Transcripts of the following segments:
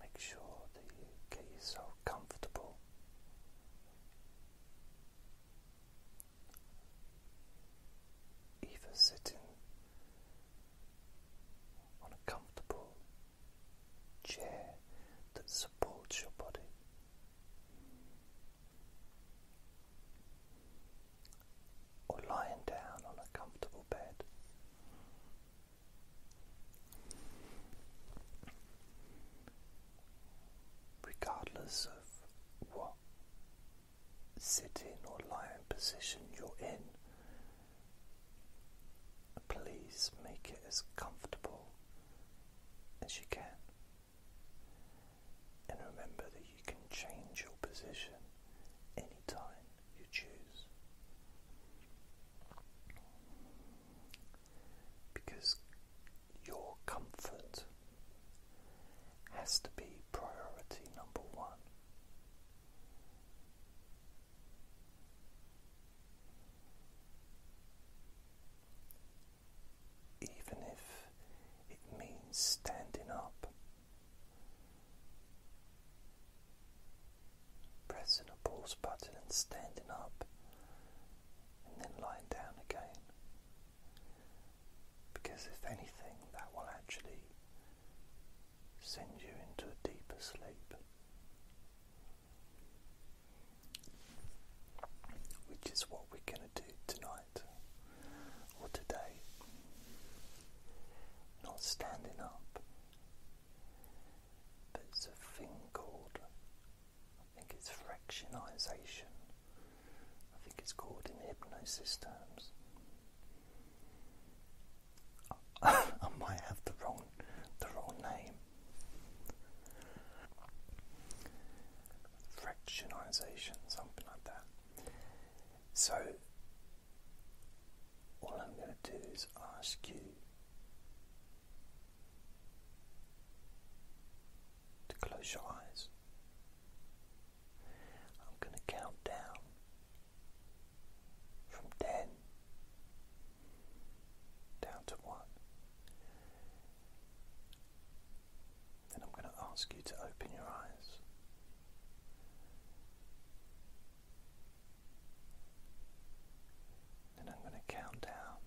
Make sure that you get yourself comfortable. Either sitting on a comfortable chair that supports your body, or lying down on a comfortable bed. Regardless of what sitting or lying position you're in, please make it as comfortable as you can. And remember that you can change your position anytime you choose. Because your comfort has to be priority number one. Even if it means standing up Pressing a pause button and standing up, and then lying down again. Because if anything, that will actually send you into a deeper sleep, which is what we're going to do tonight or today not standing up. it's a thing called, I think it's fractionization. I think it's called in hypnosis terms. I might have the wrong, the wrong name. Fractionization, something like that. So, all I'm going to do is ask you to close your eyes. I'm going to count down from 10 down to 1. Then I'm going to ask you to open your eyes. Then I'm going to count down.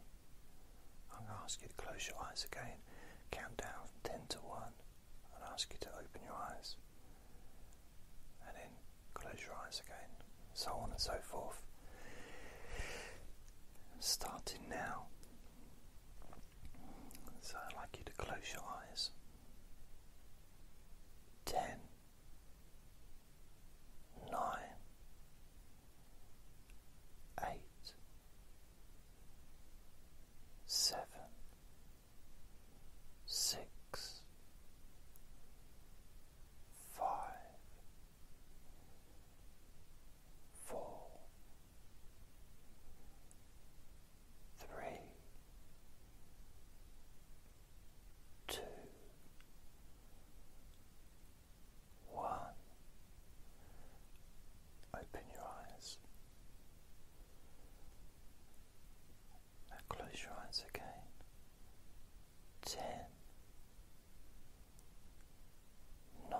I'm going to ask you to close your eyes again. Count down from 10 to 1 and ask you to open your eyes. And then close your eyes again. So on and so forth. Starting now. So I'd like you to close your eyes ten, nine, eight, seven, six, five, four three, two, one. Open your eyes. Now close your eyes again. Ten, nine,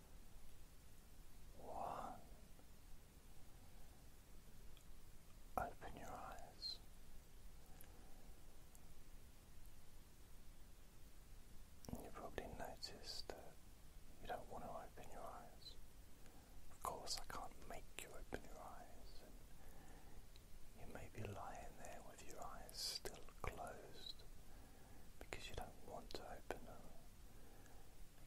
One. Open your eyes. You probably noticed that you don't want to open your eyes. Of course, I can't make you open your eyes, you may be lying there with your eyes still closed because you don't want to open them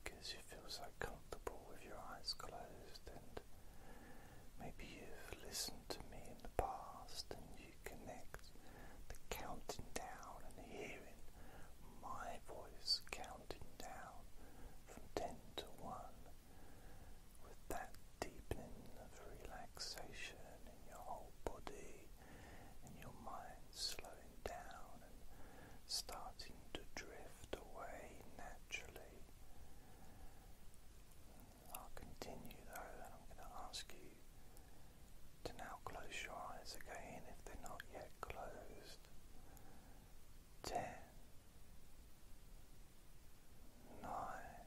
because you feel so comfortable with your eyes closed and maybe you've listened to me in the past and you connect the counting down and hearing my voice counting down from 10 to 1 with that deepening of relaxation in your whole body and your mind slowing down and starting to drift away naturally. I'll continue though, and I'm going to ask you to now close your eyes again if they're not yet closed. Ten, nine,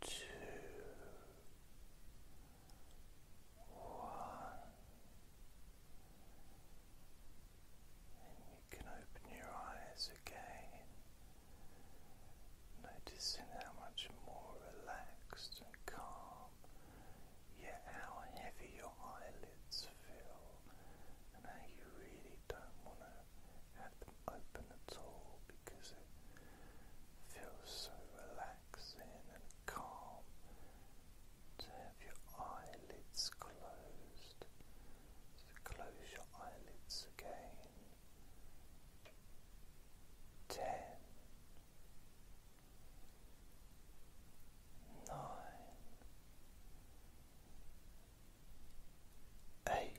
Two, one, and you can open your eyes again, noticing how much more relaxed and calm, yet how heavy your eyelids feel, and how you really don't want to open at all because it feels so relaxing and calm to have your eyelids closed. close your eyelids again. Ten. eight,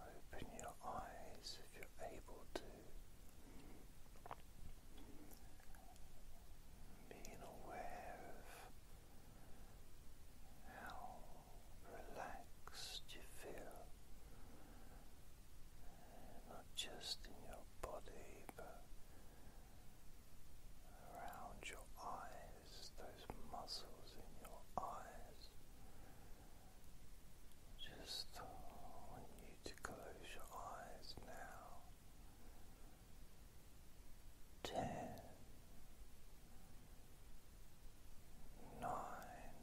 Open your eyes if you're able to. Being aware of how relaxed you feel not just in your body but around your eyes, those muscles in your eyes. Just want you to close your eyes now. Ten, nine,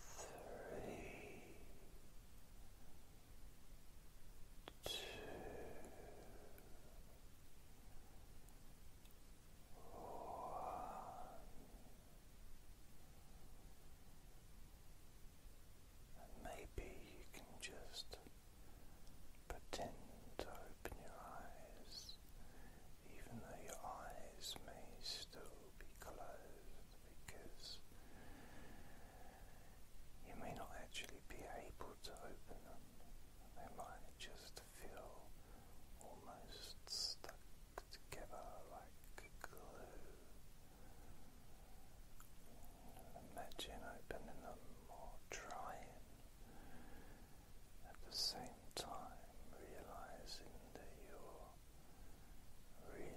three, two, one. Maybe you can just pretend to open your eyes, even though your eyes may still be closed because you may not actually be able to open them. They might just feel almost stuck together like glue. Imagine opening them or trying. At the same time, realizing that you really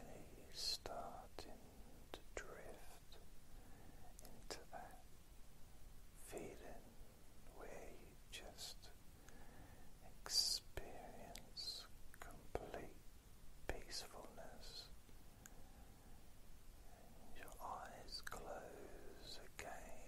starting to drift into that feeling where you just experience complete peacefulness. your eyes close again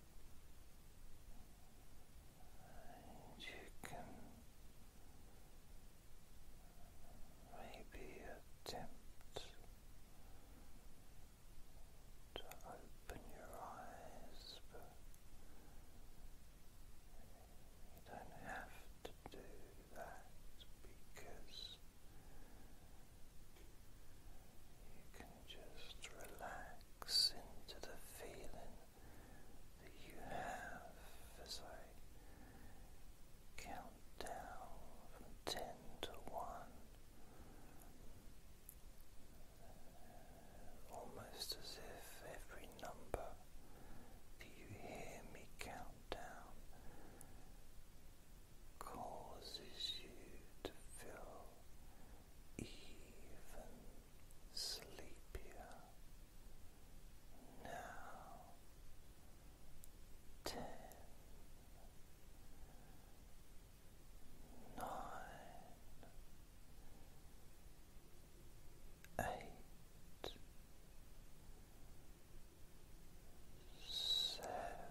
And you can maybe attempt to open your eyes, but you don't have to do that because you can just relax into the feeling that you have as I count down from ten to one, almost as if every number that you hear me count down causes you to feel even sleepier. Now, ten, nine, eight, seven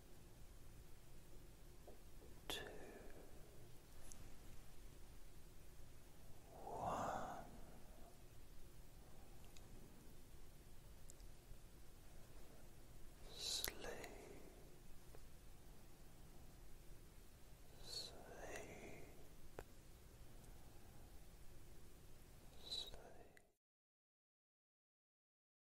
Two, one, sleep, sleep, sleep.